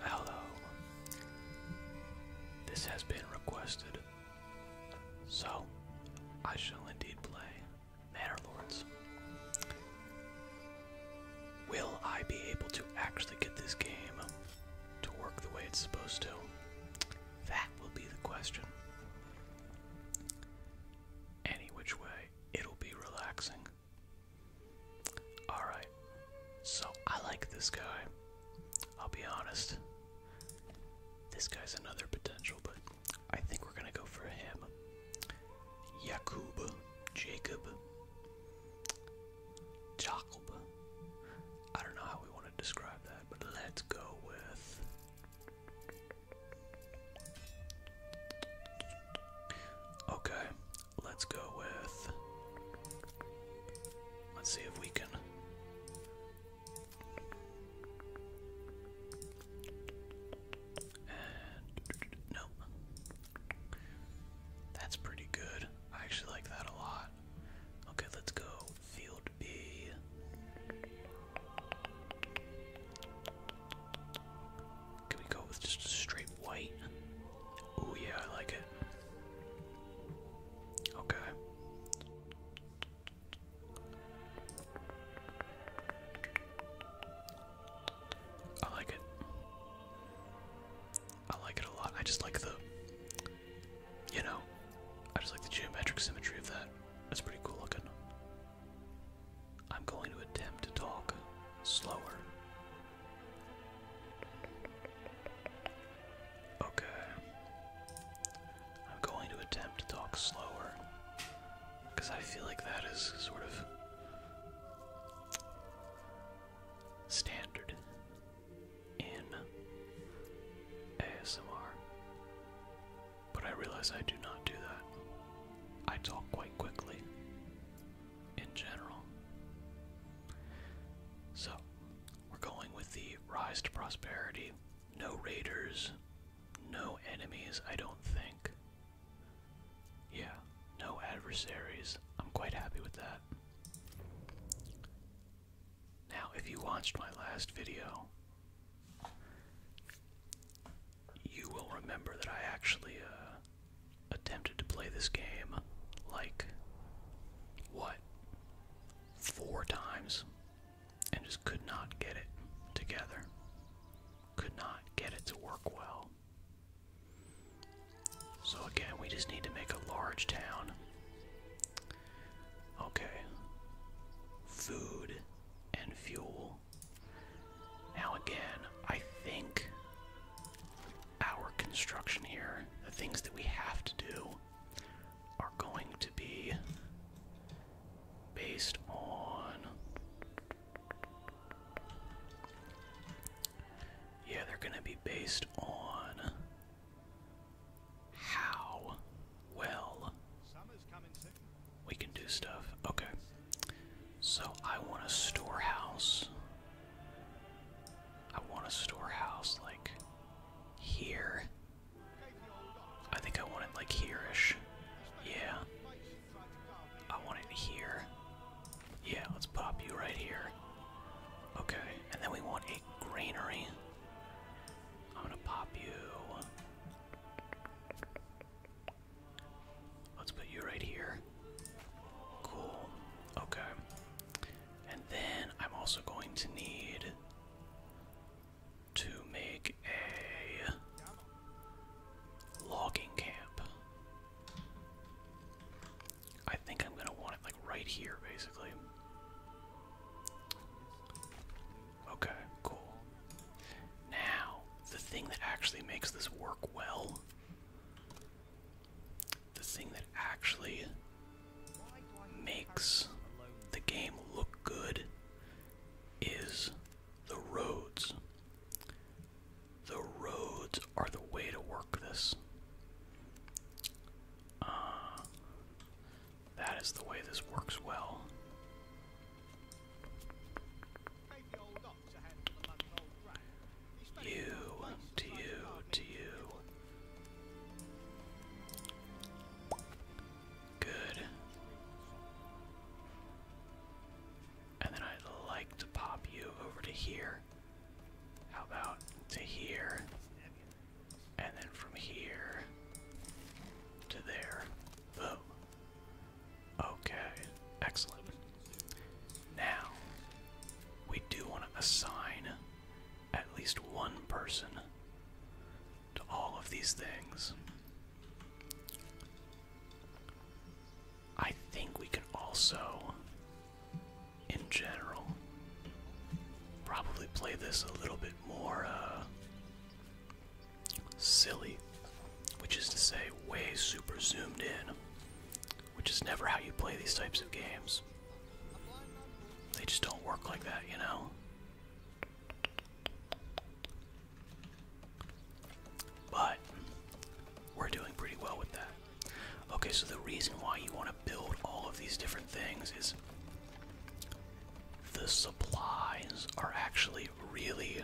Hello. This has been requested. So, I shall indeed play Manor Lords. Will I be able to actually get this game to work the way it's supposed to? That will be the question. Any which way, it'll be relaxing. Alright, so I like this guy. I'll be honest. This guy's another potential, but I think we're gonna go for him. Yakub, Jacob, Jacob. I don't know how we want to describe that, but let's go with. Okay, Let's go with. Let's see if we can. And. That's pretty good. I actually like that a lot. Okay, let's go. Field B. Can we go with just a straight white? Oh yeah, I like it. Okay. I like it. I like it a lot. I just like the, you know, I just like the geometric symmetry of that. It's pretty cool looking. I'm going to attempt to talk slower Okay. I'm going to attempt to talk slower. Because I feel like that is sort of standard in ASMR. But I realize I do not do that. I talk quite quickly in general. So, we're going with the Rise to Prosperity. No raiders, no enemies, I don't think. Yeah, no adversaries. I'm quite happy with that. Now, if you watched my last video, you will remember that I actually uh, attempted to play this game like what four times and just could not get it together. Could not get it to work well. So again, we just need to make a large town. Okay. Food and fuel. Now again, I think our construction here, the things that we have to do, are going to be based on. Yeah, they're going to be based on how well we can do stuff. Okay. So I want a storehouse. I want a storehouse like here. I think I want it like hereish. Yeah. I want it here. Yeah, let's pop you right here. Okay, and then we want a granary. I'm gonna pop you. Let's put you right here. Cool. Okay. And then I'm also going to need to make a logging camp. I think I'm gonna want it like right here basically. Okay, cool. Now, the thing that actually makes this work well the thing that actually makes the game look good is the roads. The roads are the way to work this. Uh, that is the way this works well. You, to you, to you. Good. And then I'd like to pop you over to here. How about to here? And then from here to there. Boom. Okay, excellent. Now, we do want to assign at least one person to all of these things. I think we can also, in general, probably play this a little bit more uh, silly, which is to say, way super zoomed in which is never how you play these types of games. They just don't work like that, you know? But we're doing pretty well with that. Okay, so the reason why you want to build all of these different things is the supplies are actually really,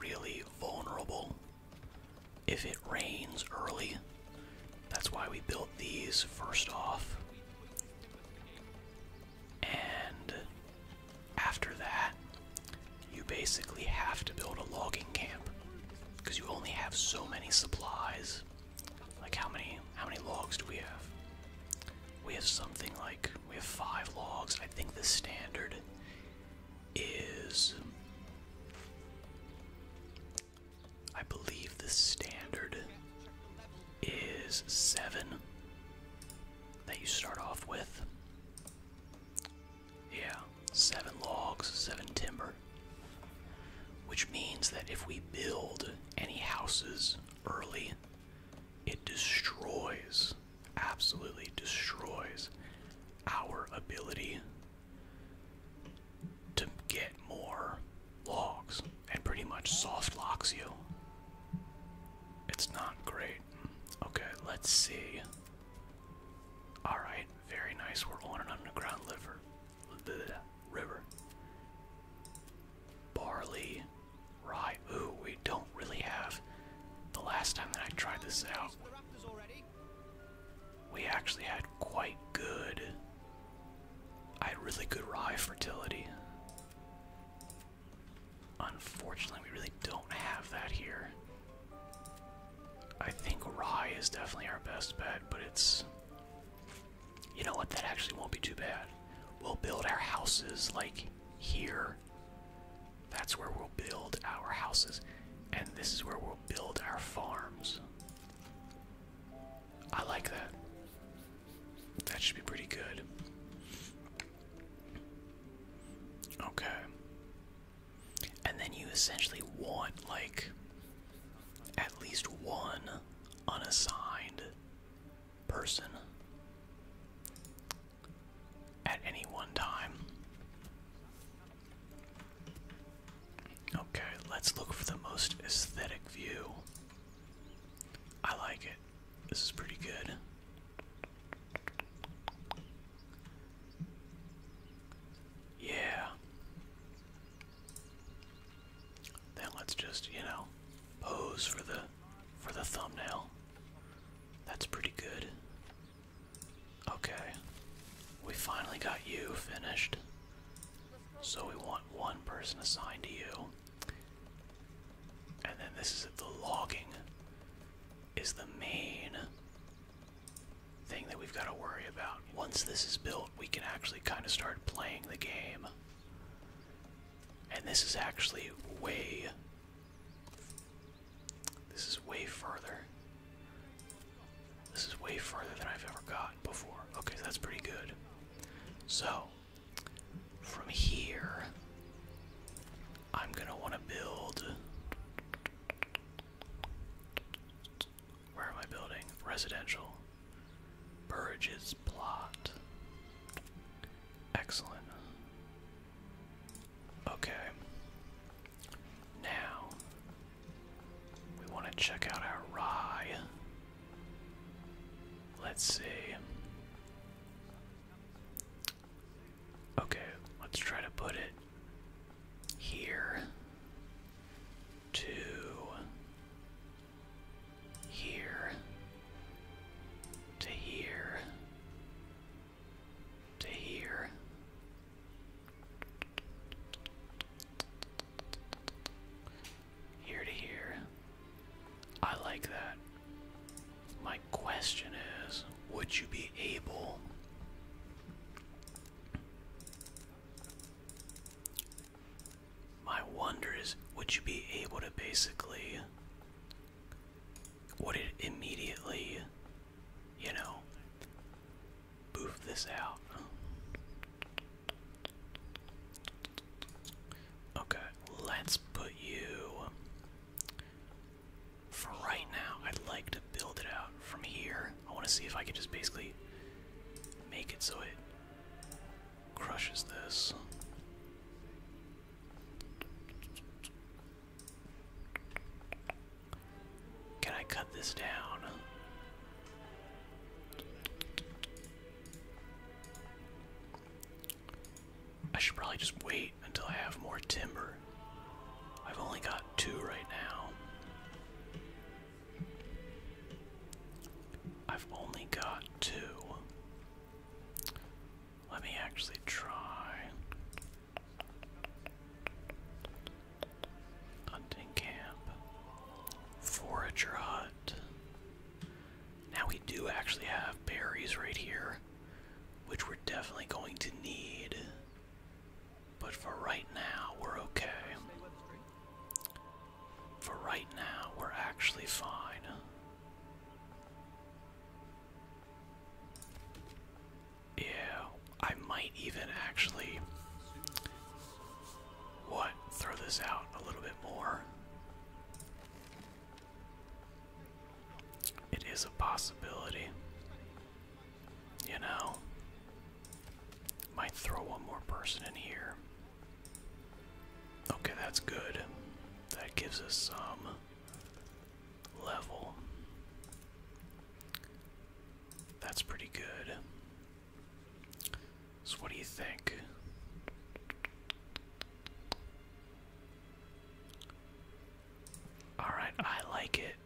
really vulnerable if it rains early. That's why we built these first off. And after that, you basically have to build a logging camp because you only have so many supplies. Like how many how many logs do we have? We have something like we have 5 logs. I think the standard is I believe the standard is seven that you start off with. Yeah, seven logs, seven timber. Which means that if we build any houses early, it destroys, absolutely destroys, our ability to get more logs and pretty much soft locks you. It's not great. Okay, let's see. Alright, very nice. We're on an underground liver. Bleh, river. Barley, rye. Ooh, we don't really have. The last time that I tried this out, we actually had quite good. I had really good rye fertility. Unfortunately, we really don't have that here. I think rye is definitely our best bet, but it's. You know what? That actually won't be too bad. We'll build our houses like here. That's where we'll build our houses, and this is where we'll build our farms. I like that. That should be pretty good. Okay. And then you essentially want, like, at least one unassigned person at any one time. Okay, let's look for the most aesthetic view. I like it. This is pretty good. Yeah. Then let's just, you know, pose for the for the thumbnail. That's pretty good. Okay. We finally got you finished. So we want one person assigned to you. And then this is the logging is the main thing that we've got to worry about. Once this is built, we can actually kind of start playing the game. And this is actually way this is way further. This is way further than I've ever gotten before. Okay, that's pretty good. So, from here, I'm gonna wanna build. Where am I building? Residential. Burridge's plot. Excellent. Okay. Now, we want to check out our rye. Let's see. Okay, let's try to put it here to here to here to here here to here. I like that. My question is would you be able my wonder is would you be able to basically would it immediately you know Move this out. Okay, let's put you. For right now, I'd like to build it out from here. I want to see if I can just basically make it so it crushes this. Can I cut this down? I should probably just wait until I have more timber. I've only got two right now. I've only got two. Let me actually try. Hunting camp. Forager hut. Now we do actually have berries right here, which we're definitely going to need. But for right now, we're okay. For right now, we're actually fine. Yeah, I might even actually what? Throw this out a little bit more. It is a possibility. You know, might throw one more person in here. Okay, that's good. That gives us some level. That's pretty good. So, what do you think? Alright, I like it.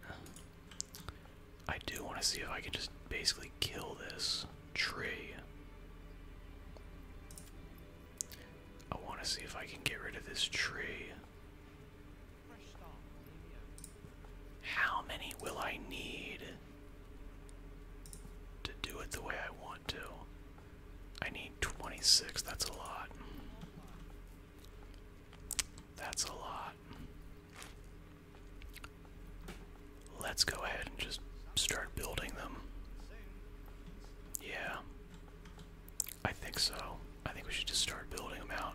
I do want to see if I can just basically kill this tree. I want to see if I can get rid of this tree. How many will I need? to do it the way I want to. I need 26, that's a lot. That's a lot. Let's go ahead and just start building them. Yeah. I think so. I think we should just start building them out.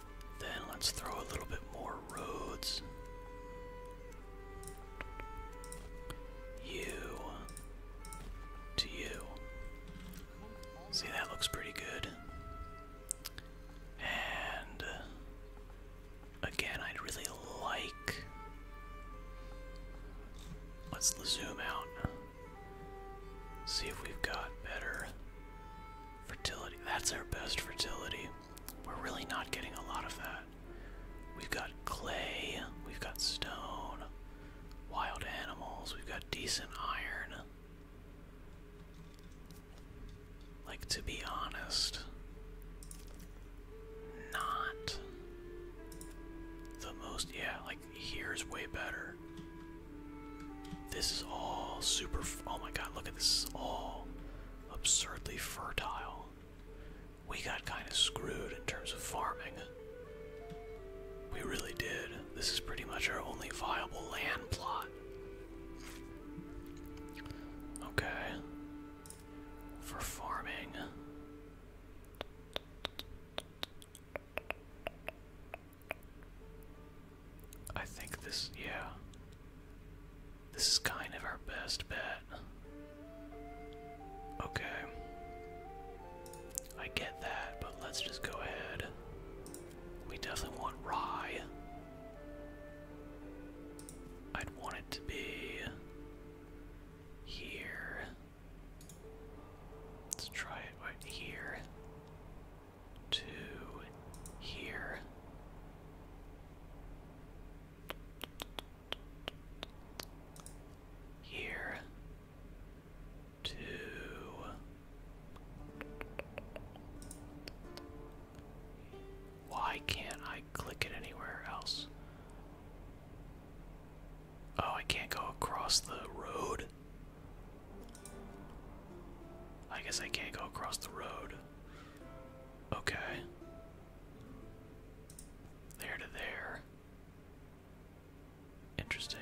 Then let's throw a little bit more roads. You to you. See, that looks pretty good. And uh, again, I'd really like. Let's zoom out. See if we've got better Fertility. That's our best fertility. We're really not getting a lot of that. We've got clay, we've got stone, wild animals, we've got decent iron. Like, to be honest, not the most. Yeah, like, here's way better. This is all super. Oh my god, look at this. all absurdly fertile. We got kind of screwed in terms of farming. We really did. This is pretty much our only viable land plot. Okay. For farming. I think this, yeah. This is kind of our best bet. Okay. I get that, but let's just go ahead. We definitely want rye. I'd want it to be here. Let's try it right here to here. Here to Why can't I click it anywhere else? Oh, I can't go across the road. I guess I can't go across the road. Okay. There to there. Interesting.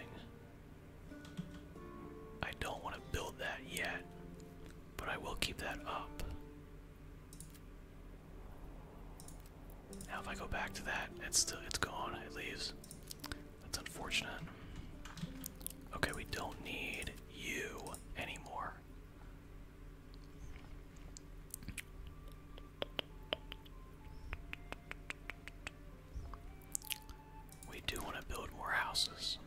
I don't want to build that yet, but I will keep that up. Now if I go back to that, it's still it's gone, it leaves. That's unfortunate. Okay, we don't need you anymore. We do want to build more houses.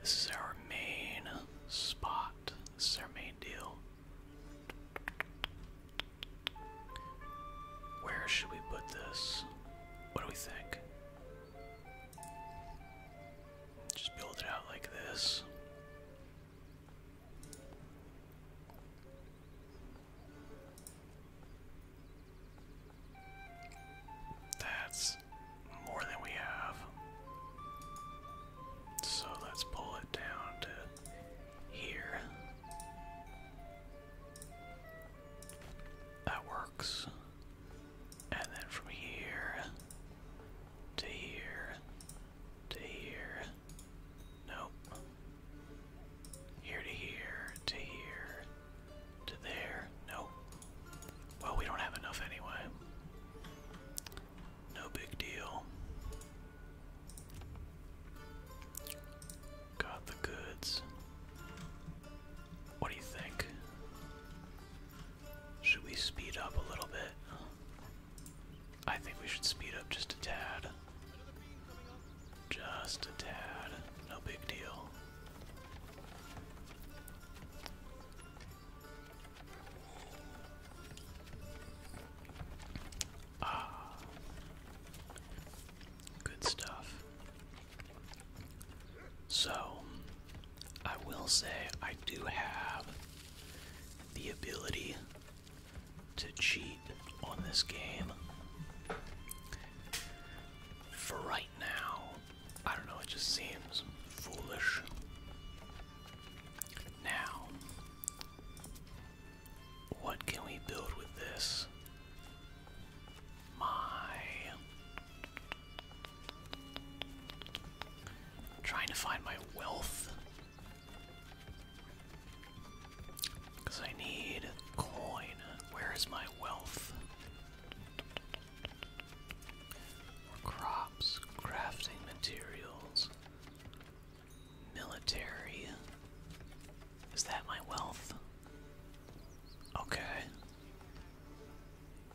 This is our main spot. This is our main deal. Where should we put this? What do we think? Just build it out like this. That's more than we have. So let's pull it down to here. That works. And then from here to here to here. Nope. Here to here to here to there. Nope. Well, we don't have enough anyway. No big deal. Got the goods. What do you think? Should we speed up a little bit? I think we should speed up just a tad. Just a tad. No big deal. Ah. Good stuff. So, I will say I do have the ability to cheat on this game. For right now, I don't know, it just seems foolish. Now, what can we build with this? My trying to find my wealth. Because I need coin. Where is my wealth? crops, crafting materials, military. Is that my wealth? Okay.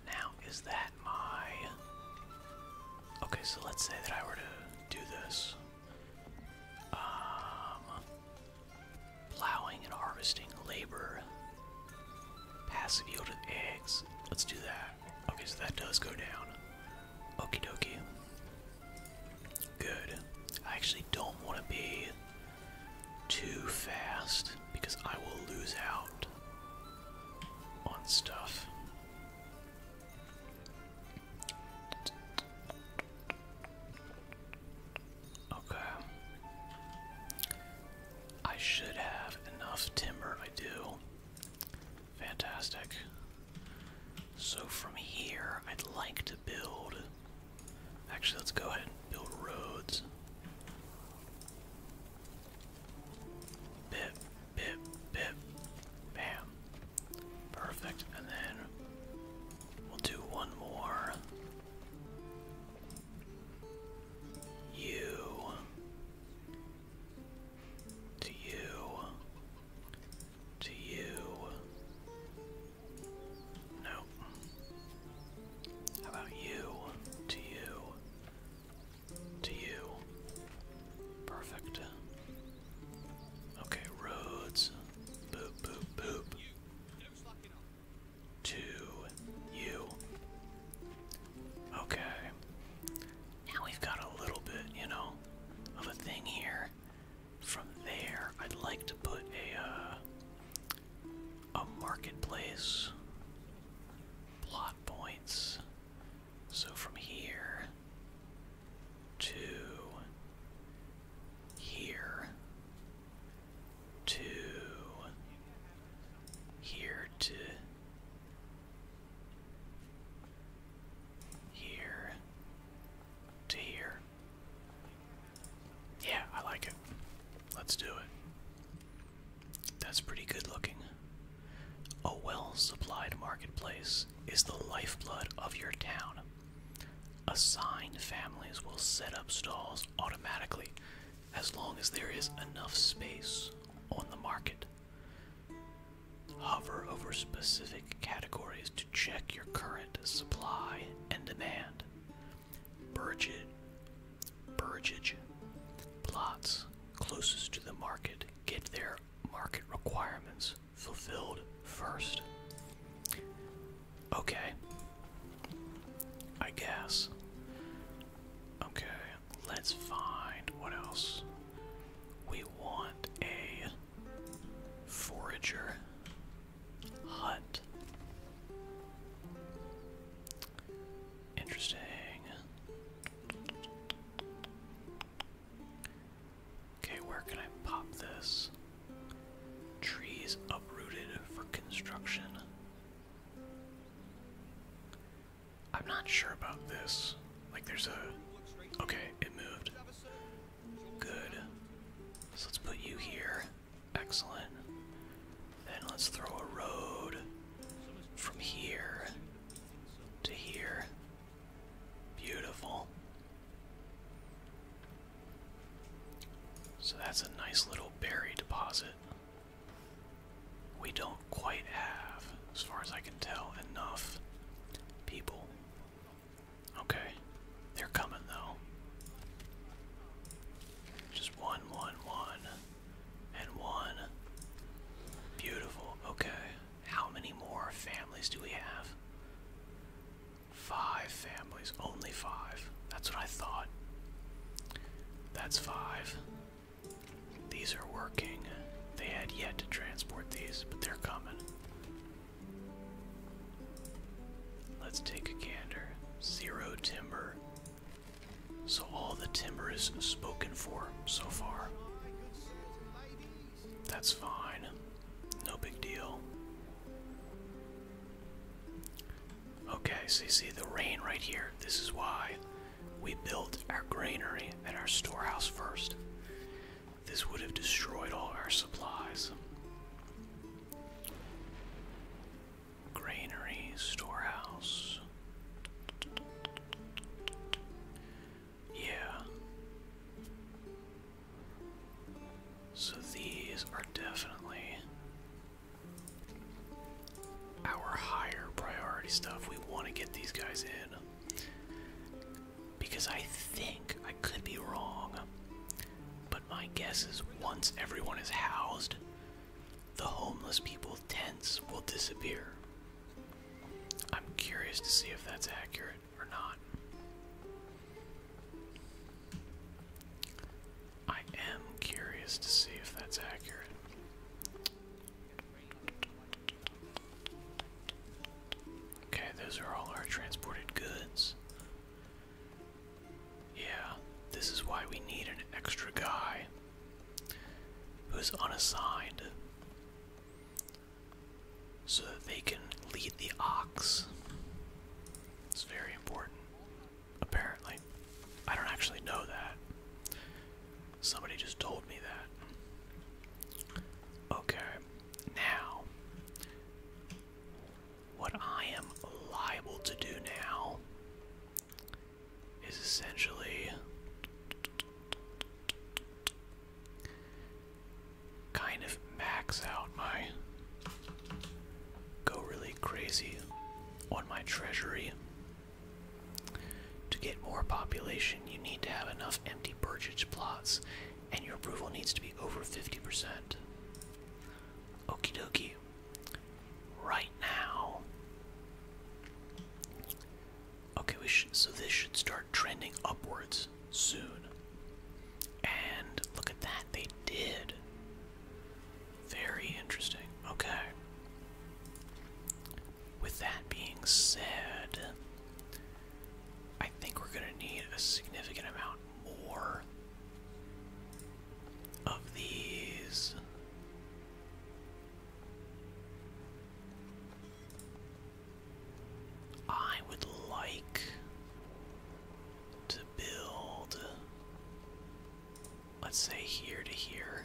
Now, is that my. Okay, so let's say that I were to do this. Um, plowing and harvesting labor. Passive yield of eggs. Let's do that. Okay, so that does go down. Okey-dokey. Good. I actually don't want to be too fast because I will lose out on stuff. Okay. I should have enough timber, I do. Fantastic. So from here, I'd like to build. Actually, let's go ahead Build roads. Bip, bip, bip. Bam. Perfect. And then we'll do one more. You. To you. To you. Nope about you? To you. To you. Perfect. Okay, roads. Boop, boop, boop. To you. Okay. Now we've got a little bit, you know, of a thing here. From there, I'd like to put a, uh, a marketplace. Plot points. So from here to here to here to here to here. Yeah, I like it. Let's do it. That's pretty good looking. A well supplied marketplace is the lifeblood of your town. Assigned families will set up stalls automatically as long as there is enough space on the market. Hover over specific categories to check your current supply and demand. Burgett Burgage. Plots closest to the market get their market requirements fulfilled first. Okay. I guess. Okay, let's find what else. We want a forager hut. Interesting. Okay, where can I pop this? Trees uprooted for construction. I'm not sure about this. Like, there's a. Okay, it moved. Good. So let's put you here. Excellent. Then let's throw a road from here to here. Beautiful. So that's a nice little berry deposit. We don't quite have, as far as I can tell, enough people. Okay, they're coming though. Just one, one, one and one. Beautiful. Okay. How many more families do we have? Five families. Only five. That's what I thought. That's five. These are working. They had yet to transport these, but they're coming. Let's take a gander. Zero timber. So all the timber is spoken for so far. That's fine. No big deal. Okay, so you see the rain right here. This is why we built our granary and our storehouse first. This would have destroyed all our supplies. Granary, storehouse. Yeah. So these are definitely our higher priority stuff. We want to get these guys in. Because I think, I could be wrong, but my guess is once everyone is housed, the homeless people tents will disappear. I'm curious to see if that's accurate or not. I am curious to see if that's accurate. Okay, those are all our transported goods. Yeah, this is why we need an extra guy who's unassigned so that they can lead the ox. It's very important, apparently. I don't actually know that. Somebody just told me that. Okay, now, what I am liable to do now is essentially kind of max out my go really crazy on my treasury. To get more population, you need to have enough empty purchase plots, and your approval needs to be over 50%. Okie dokie right now. Okay, we should, so this should start trending upwards soon. And look at that, they did. Very interesting. Okay. With that being said, I think we're going to need a significant amount more of these. I would like to build, let's say, here to here.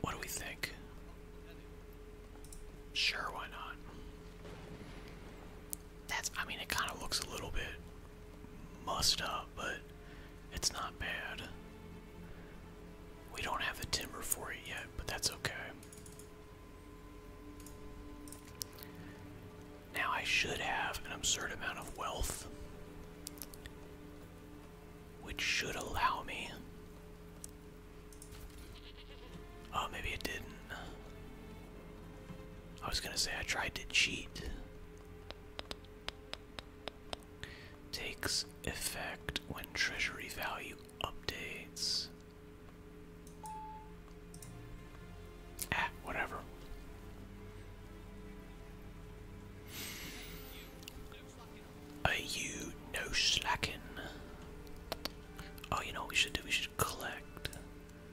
What do we think? Sure, why not? That's, I mean, it kind of looks a little bit mussed up, but it's not bad. We don't have the timber for it yet, but that's okay. Now I should have an absurd amount of wealth, which should allow me. Oh, maybe it didn't. I was gonna say I tried to cheat, Takes effect when treasury value updates. Ah, whatever. Are you no slacking? Oh, you know what we should do? We should collect.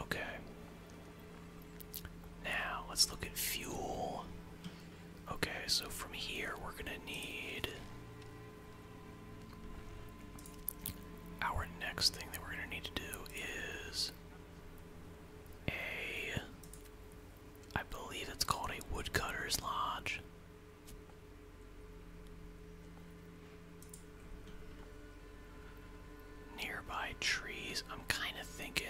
Okay. Now, let's look at fuel. Okay, so from here we're gonna need. Our next thing that we're gonna need to do is. A. I believe it's called a woodcutter's lodge. Nearby trees. I'm kind of thinking.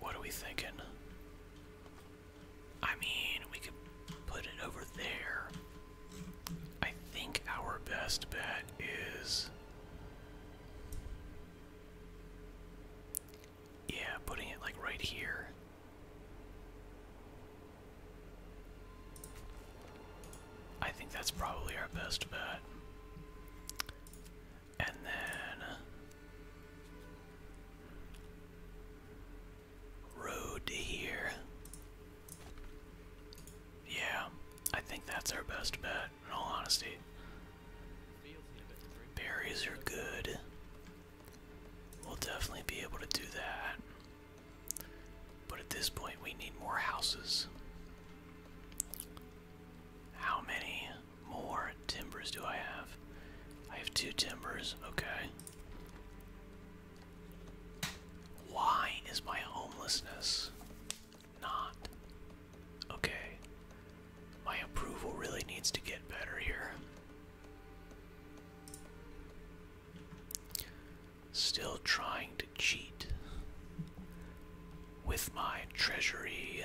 What are we thinking? I mean, we could put it over there. I think our best bet is. Yeah, putting it like right here. I think that's probably our best bet. And then road here. Yeah, I think that's our best bet, in all honesty. Berries are good. We'll definitely be able to do that. But at this point, we need more houses. How many more timbers do I have? I have two timbers, okay. Why is my homelessness not okay? My approval really needs to get better here. Still trying to cheat with my treasury.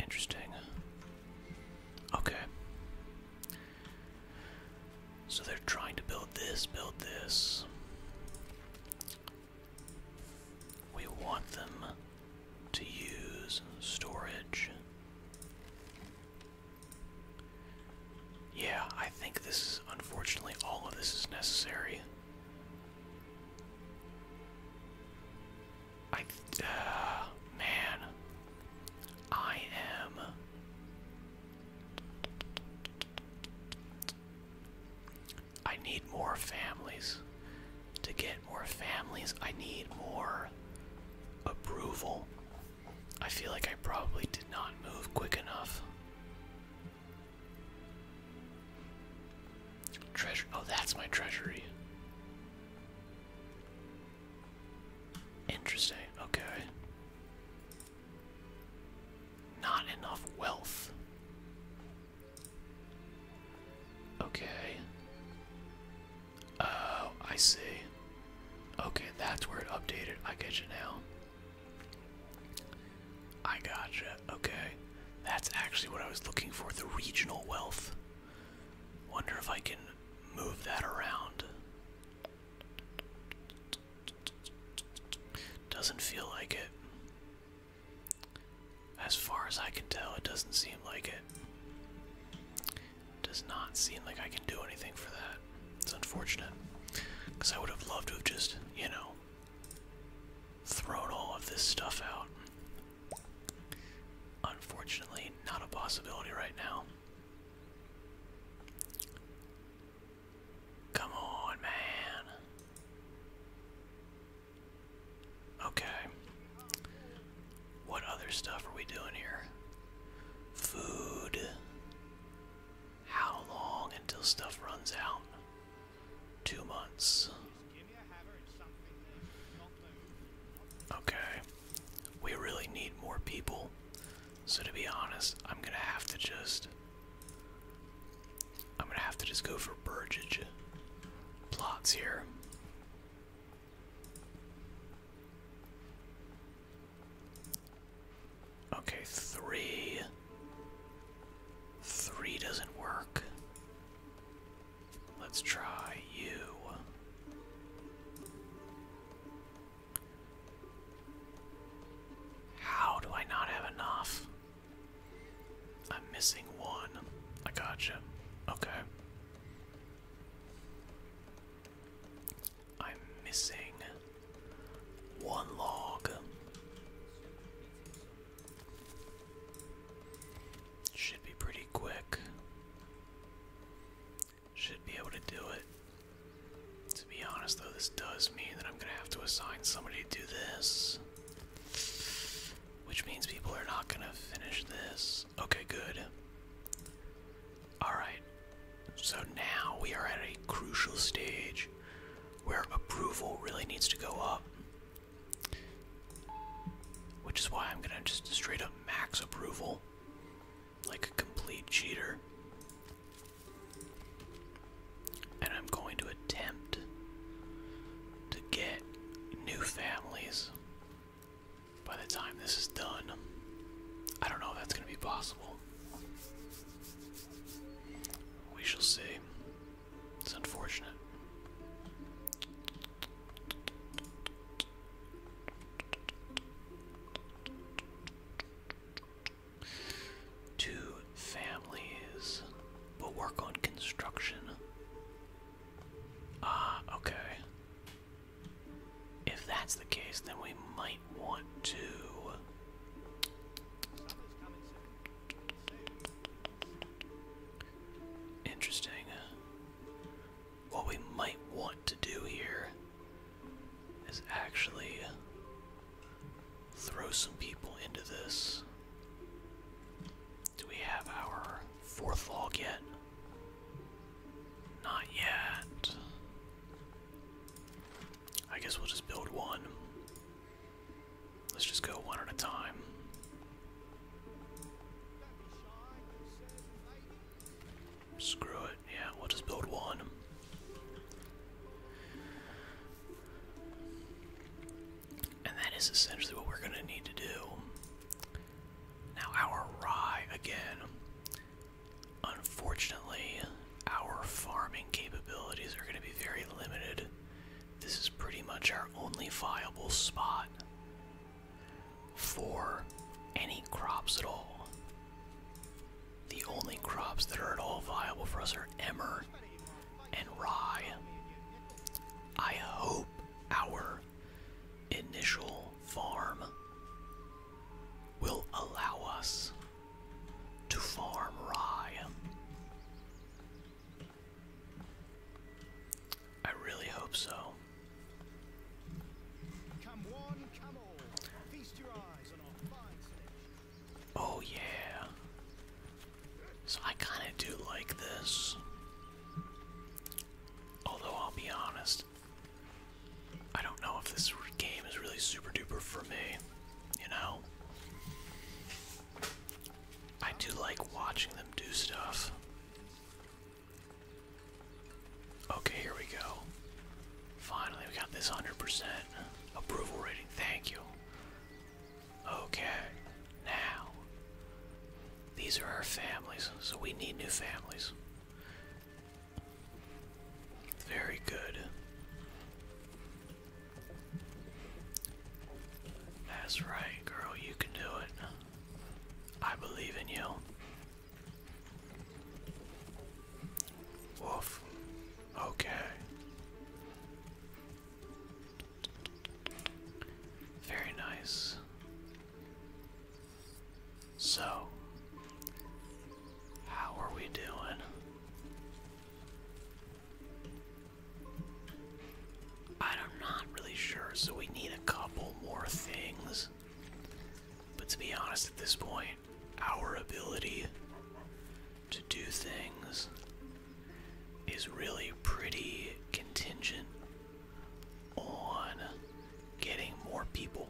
Interesting. Okay. So they're trying to build this, build this. We want them to use storage. Yeah, I think this is, unfortunately, all of this is necessary. I, uh, man, I am I need more families. To get more families, I need more approval. I feel like I probably did not move quick enough. Treasure. Oh, that's my treasury. Interesting. Okay. Not enough wealth. Okay. Oh, I see. Okay, that's where it updated. I get you now. I got you. Okay. That's actually what I was looking for the regional wealth. Wonder if I can move that around. Doesn't feel like it. As far as I can tell, it doesn't seem like it. Does not seem like I can do anything for that. It's unfortunate. Because I would have loved to have just, you know, thrown all of this stuff out. Unfortunately, not a possibility right now. Come on, man. Okay. What other stuff are we doing here? Food. How long until stuff runs out? Two months. Okay. We really need more people. So to be honest, I'm gonna have to just I'm gonna have to just go for Burgage plots here. Okay, three. Three doesn't work. Let's try you. How do I not have enough? I'm missing one. I gotcha. Okay. I'm missing one log. Should be pretty quick. Should be able to do it. To be honest, though, this does mean that I'm going to have to assign somebody to do this. Which means people are not going to finish this. Okay, good. Alright. So now we are at a crucial stage where approval really needs to go up. Which is why I'm going to just straight up max approval. Like a complete cheater. And I'm going to attempt to get new families by the time this is done. I don't know if that's going to be possible. We shall see. It's unfortunate. Two families. we work on construction. Ah, okay. If that's the case, then we might want to. Interesting. What we might want to do here is actually throw some people into this. Do we have our fourth log yet? Not yet. I guess we'll just build one. Let's just go one at a time. Screw it. Yeah, we'll just build one. And that is essentially what we're going to need to do. Now, our rye, again, unfortunately, our farming capabilities are going to be very limited. This is pretty much our only viable spot for any crops at all. The only crops that are at all viable for us are emmer and rye. I hope our initial farm will allow us to farm rye. I really hope so. Come one, come all. Feast your eyes on our fine selection. Oh yeah. So I kind of do like this. Although I'll be honest, I don't know if this game is really super duper for me, you know? I do like watching them do stuff. Okay, here we go. Finally, we got this 100%. Approval rating, thank you. Okay, now. These are our families, so we need new families. Very good. That's right, girl, you can do it. I believe in you. Woof. Okay. Very nice. So, how are we doing? I'm not really sure, so we need a couple more things. But to be honest, at this point, our ability to do things is really pretty contingent on getting more people.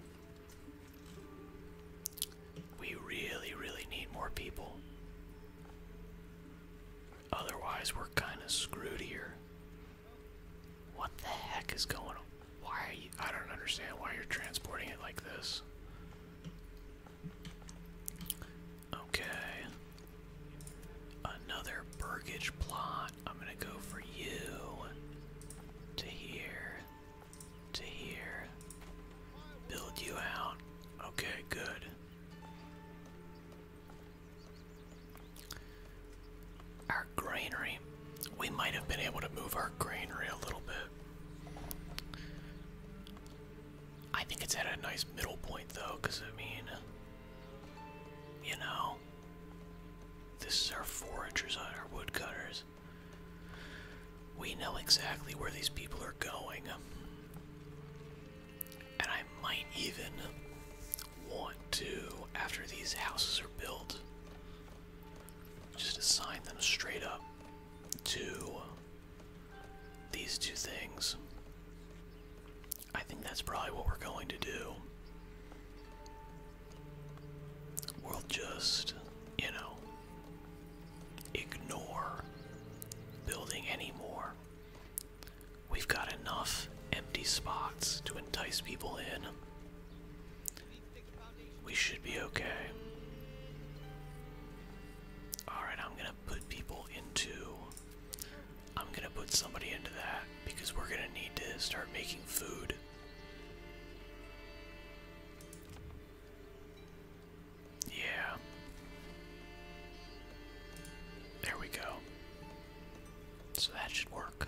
We really, really need more people. Otherwise, we're kind of screwed here. What the heck is going on? Why are you. I don't understand why you're transporting it like this. Okay. Another Burgage plot. I'm gonna go for you. To here. To here. Build you out. Okay, good. Our granary. We might have been able to move our granary a little bit. I think it's at a nice middle point though, because I mean, you know, this is our foragers on our woodcutters. We know exactly where these people are going. And I might even want to, after these houses are built, just assign them straight up to these two things. I think that's probably what we're going to do. We'll just, you know, ignore building anymore. We've got enough empty spots to entice people in. We should be okay. Alright, I'm gonna put people into. I'm gonna put somebody into that because we're gonna need to start making food. Yeah. There we go. So that should work.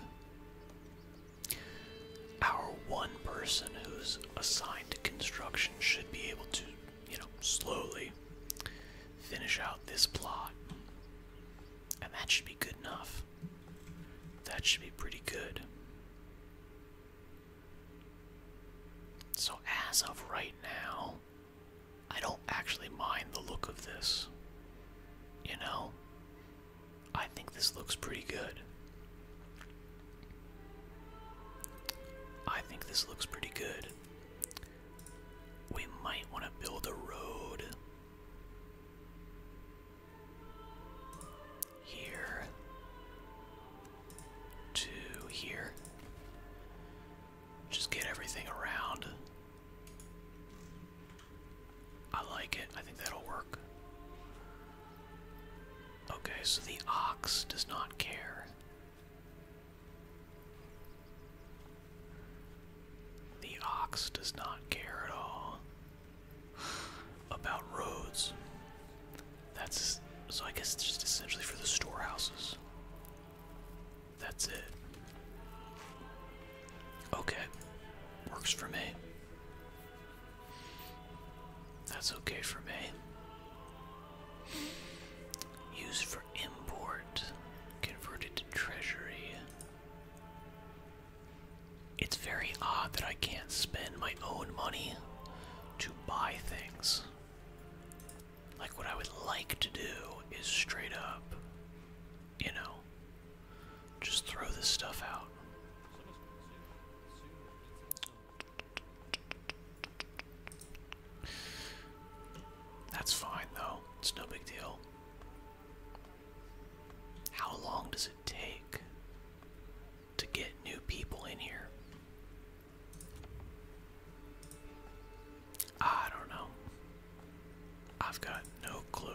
Our one person who's assigned to construction should be able to, you know, slowly finish out this plot. And that should be good enough. That should be pretty good. So, as of right now, I don't actually mind the look of this. You know? I think this looks pretty good. I think this looks pretty good. We might want to build a road here to here. Just get everything around. I like it. I think that'll work. Okay, so the ox does not care. The ox does not care at all about roads. That's so I guess it's just essentially for the storehouses. That's it. Okay. Works for me. That's okay for me. Used for import, converted to treasury. It's very odd that I can't spend my own money to buy things. Like, what I would like to do is straight up, you know, just throw this stuff out. That's fine though, it's no big deal. How long does it take to get new people in here? I don't know. I've got no clue.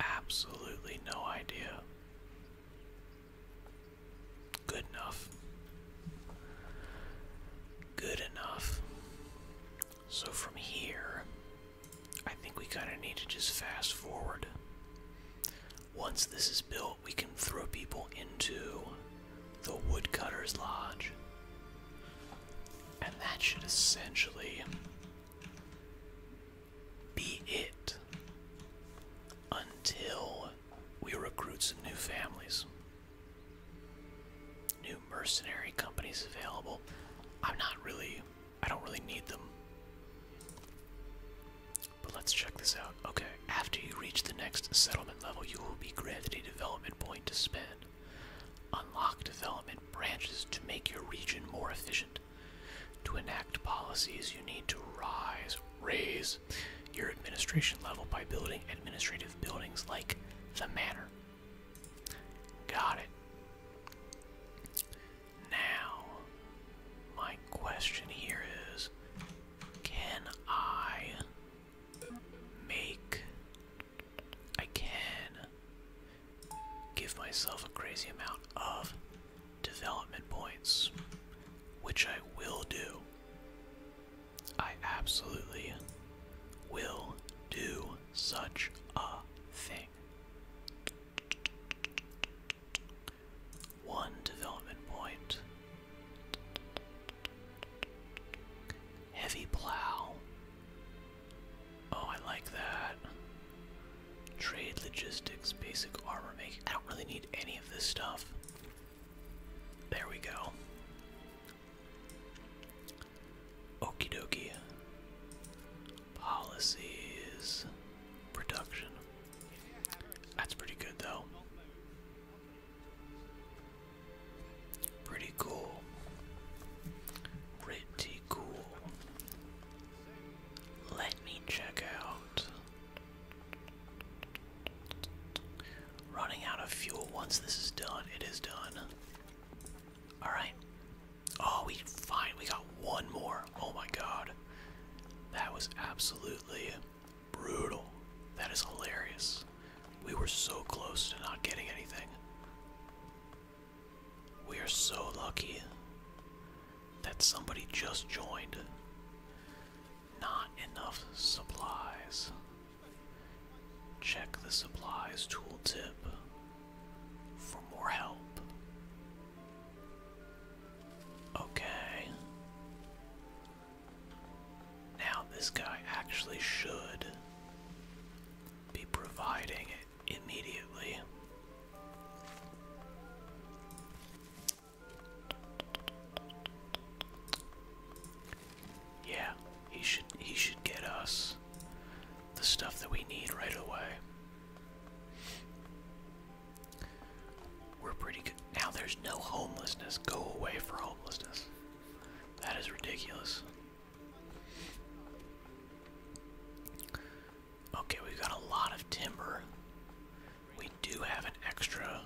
Absolutely no idea. Good enough. Good enough. So from here, I think we kind of need to just fast forward. Once this is built, we can throw people into the Woodcutter's Lodge. And that should essentially be it until we recruit some new families. New mercenary companies available. I'm not really, I don't really need them. But let's check this out. Okay, after you reach the next settlement level, you will be granted a development point to spend. Unlock development branches to make your region more efficient. To enact policies, you need to rise, raise your administration level by building administrative buildings like the manor. Got it. Now, my question here is can I make. I can give myself a crazy amount of development points, which I will do. I absolutely will do such a thing. One development point. Heavy plow. Oh, I like that. Trade logistics, basic armor making. I don't really need any of this stuff. There we go. Okie dokie. Policies. Production. That's pretty good though. Pretty cool. Pretty cool. Let me check out. Running out of fuel once this is done. It is done. Alright. Oh, we fine. We got one more. Oh my god. That was absolutely brutal. That is hilarious. We were so close to not getting anything. We are so lucky that somebody just joined. Not enough supplies. Check the supplies tooltip for more help. Okay. Now this guy actually should be providing it immediately. Yeah, he should he should get us the stuff that we need right away. We're pretty good. Now there's no homelessness. Go away for homelessness. That is ridiculous. Okay, we've got a lot of timber. We do have an extra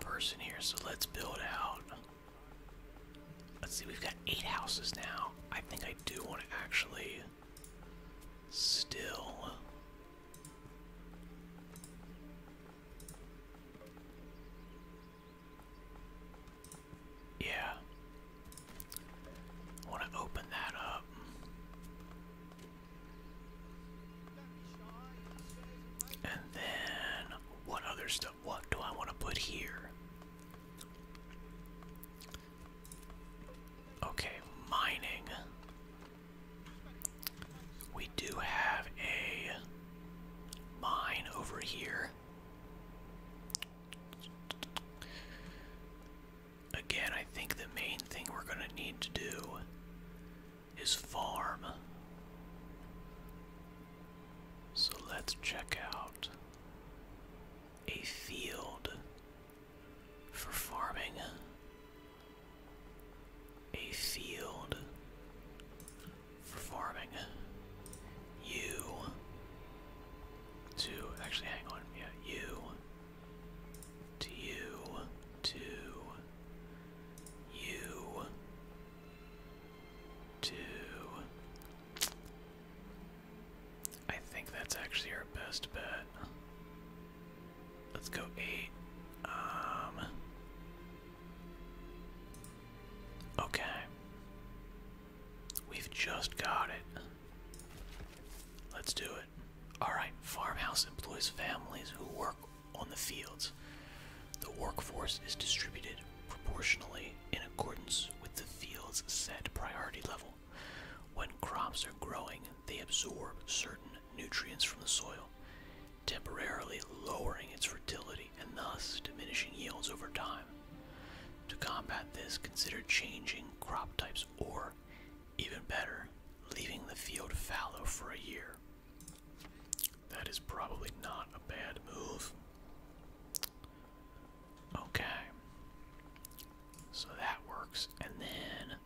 person here, so let's build out. Let's see, we've got eight houses now. I think I do want to actually still. Yeah. want to open that up. And then what other stuff? What do I want to put here? Okay, mining. We do have a mine over here again, I think the main thing we're going to need to do is farm. So let's check out a field for farming. A field for farming. You to actually hang on, yeah, you to you, to you, to. I think that's actually our best bet. Let's go eight. Um. Okay. We've just got it. Let's do it. Alright, farmhouse employs families who work on the fields. The workforce is distributed proportionally in accordance with the field's set priority level. When crops are growing, they absorb certain nutrients from the soil, temporarily lowering its fertility and thus diminishing yields over time. To combat this, consider changing crop types or even better, leaving the field fallow for a year. That is probably not a bad move. Okay. So that works. And then,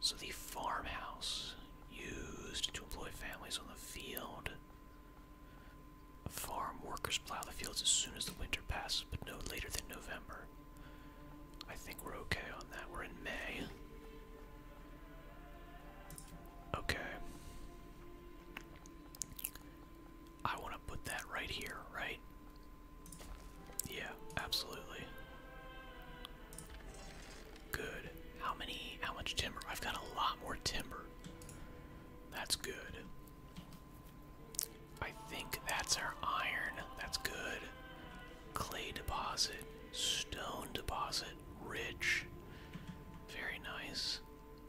so the farmhouse used to employ families on the field. Farm workers plow the fields as soon as the winter passes, but no later than November. I think we're okay on that. We're in May. Okay. I want to put that right here, right? Yeah, absolutely. Good. How many, how much timber? I've got a lot more timber. That's good. I think that's our iron. That's good clay deposit, stone deposit, rich. Very nice.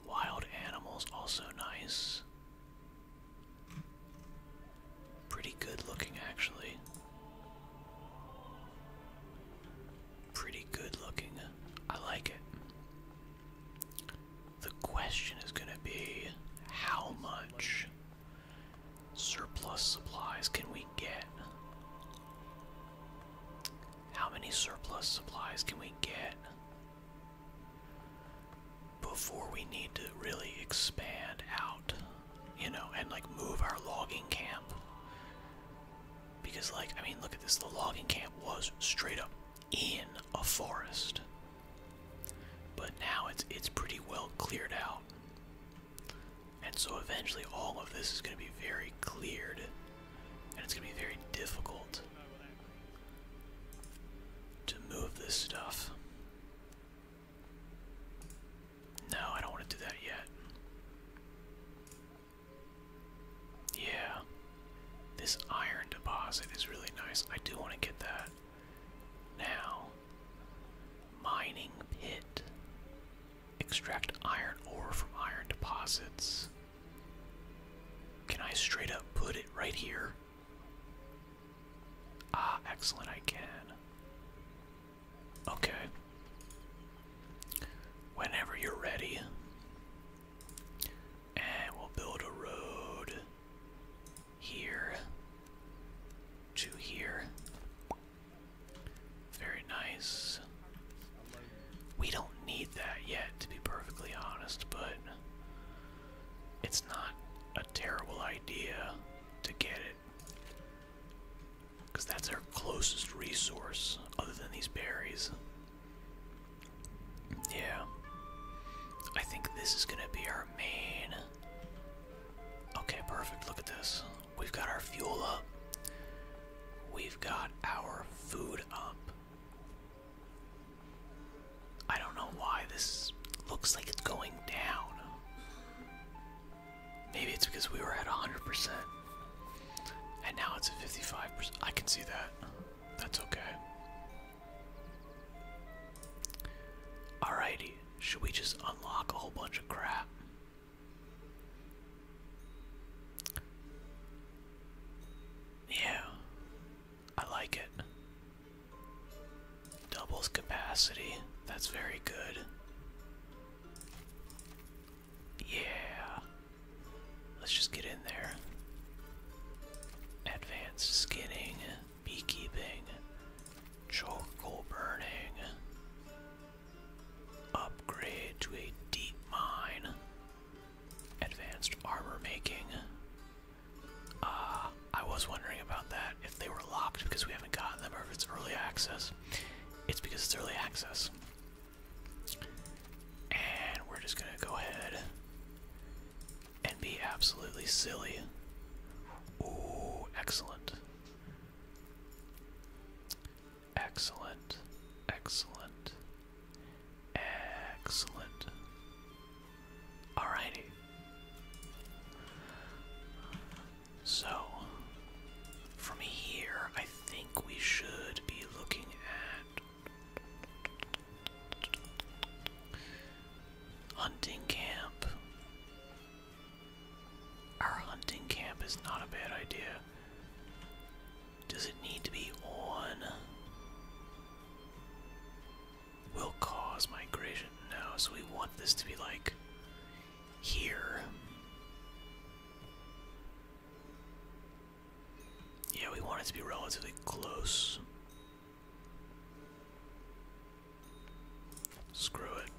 Wild animals, also nice. Pretty good looking, actually. Pretty good looking. I like it. The question is going to be how much? Surplus supplies can we get? How many surplus supplies can we get before we need to really expand out, you know, and like move our logging camp? Because, like, I mean, look at this the logging camp was straight up in a forest, but now it's it's pretty well cleared out. And so eventually all of this is going to be very cleared. And it's going to be very difficult to move this stuff. No, I don't want to do that yet. Yeah. This iron deposit is really nice. I do want to get that now. Mining pit. Extract iron ore from iron deposits. Can I straight up put it right here? Ah, excellent, I can. Okay. Whenever you're ready. And we'll build a road here to here. Very nice. We don't need that yet, to be perfectly honest, but it's not a terrible idea to get it. Because that's our closest resource other than these berries. Yeah. I think this is going to be our main. Okay, perfect. Look at this. We've got our fuel up. We've got our food up. I don't know why this looks like it's going down. Maybe it's because we were at 100%. And now it's at 55%. I can see that. That's okay. Alrighty, should we just unlock a whole bunch of crap? Yeah, I like it. Doubles capacity, that's very good. Yeah, let's just get in there. Advanced skinning, beekeeping, charcoal burning. Upgrade to a deep mine. Advanced armor making. Uh, I was wondering about that, if they were locked because we haven't gotten them or if it's early access. It's because it's early access. And we're just gonna go ahead and be absolutely silly. Ooh, excellent. Excellent. Excellent. Excellent. Alrighty. So, from here, I think we should be looking at hunting camp. Our hunting camp is not a bad idea. Does it need to be on? Will cause migration? now, so we want this to be like here. Yeah, we want it to be relatively close. Screw it.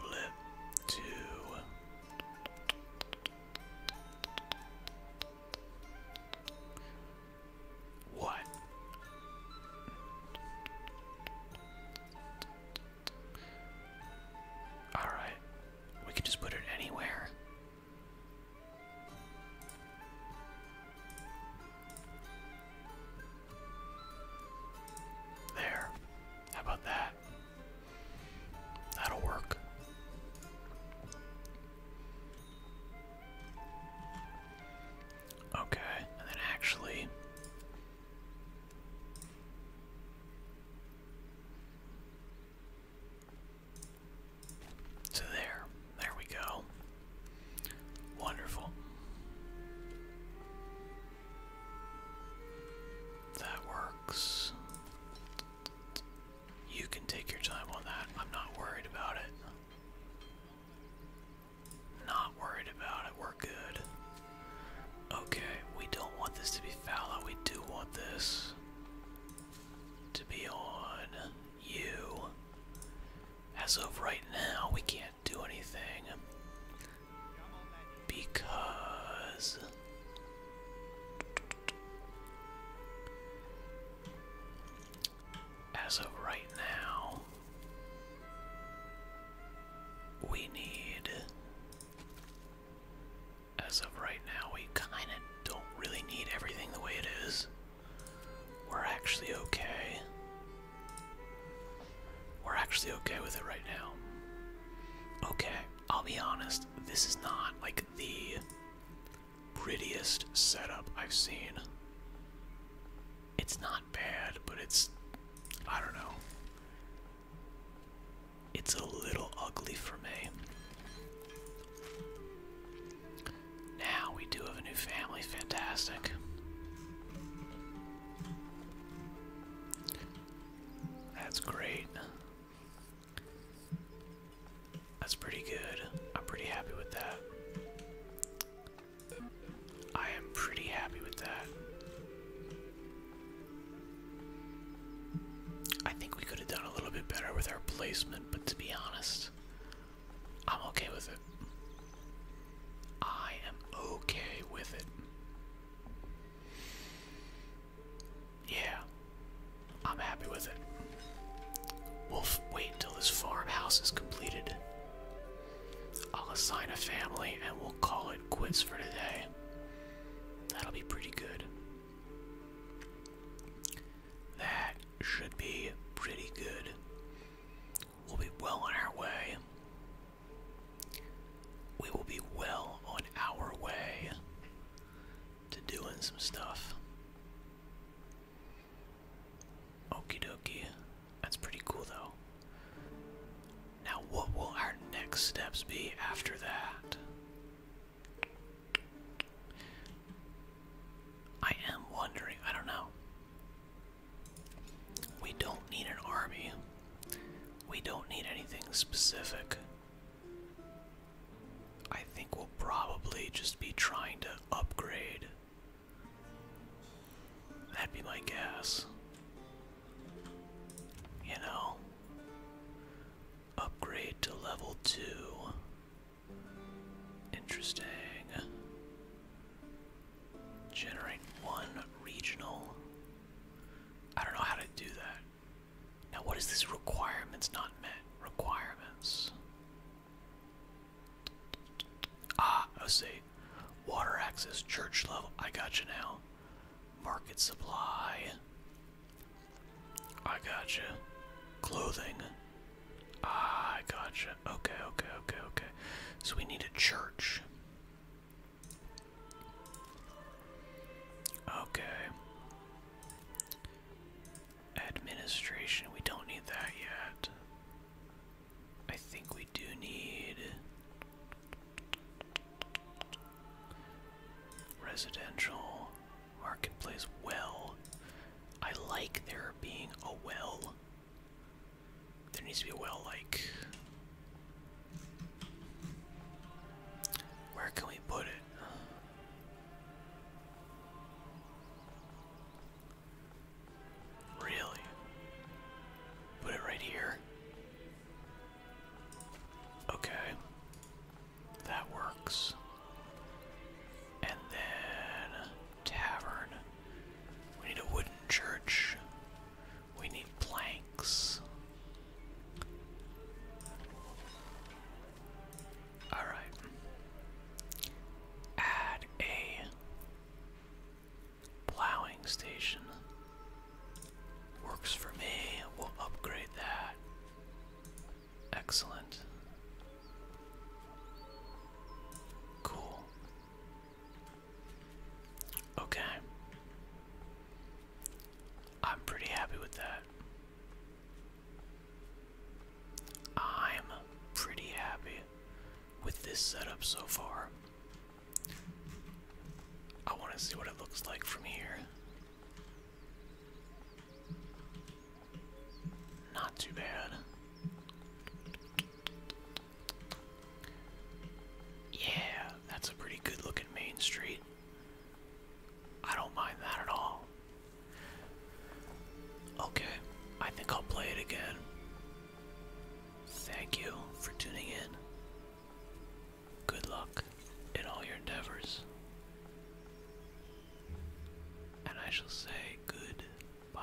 Blip to what? All right. We can just put it anywhere. There. How about that? That'll work. Okay, and then actually. So there, there we go. Wonderful. That works. You can take your time on that. I'm not worried about it. Not worried about it. We're good. Okay, we don't want this to be fallow. We do want this to be on you. As of right now, we can't do anything because as of right now, we need. As of right now, we kind of don't really need everything the way it is. We're actually okay. We're actually okay with it right now. Okay, I'll be honest, this is not like the prettiest setup I've seen. It's not bad, but it's. I don't know. It's a little ugly for me. Now we do have a new family, fantastic. That's great. That's pretty good. I'm pretty happy with that. I am pretty happy with that. I think we could have done a little bit better with our placement, but to be honest, I'm okay with it. I am okay with it. Yeah, I'm happy with it. We'll wait until this farmhouse is completed. I'll assign a family and we'll call it quits for today. That'll be pretty good. That should be pretty good. We'll be well on our way. We will be well on our way to doing some stuff. Okie dokie. That's pretty cool though. Now, what will our next steps be after that? I am wondering, I don't know. We don't need an army. We don't need anything specific. I think we'll probably just be trying to upgrade. That'd be my guess. You know? Upgrade to level 2. Interesting. Generate one regional. I don't know how to do that. Now, what is this requirements not met? Requirements. Ah, I see. Water access, church level. I got you now. Market supply. I got you. Clothing. Ah, I got you. Okay, okay, okay, okay. So we need a church. Okay. Administration, we don't need that yet. I think we do need residential marketplace well. I like there being a well there needs to be a well, like. Where can we put it? Really? Put it right here. Okay. That works. And then tavern. We need a wooden church. We need planks. Alright. Add a plowing station. Works for me. We'll upgrade that. Excellent. Cool. Okay. I'm pretty happy with that. I'm pretty happy with this setup so far. I want to see what it looks like from here. Not too bad. Yeah, that's a pretty good looking main street. I don't mind that at all. Okay, I think I'll play it again. Thank you for tuning in. Good luck in all your endeavors. And I shall say goodbye.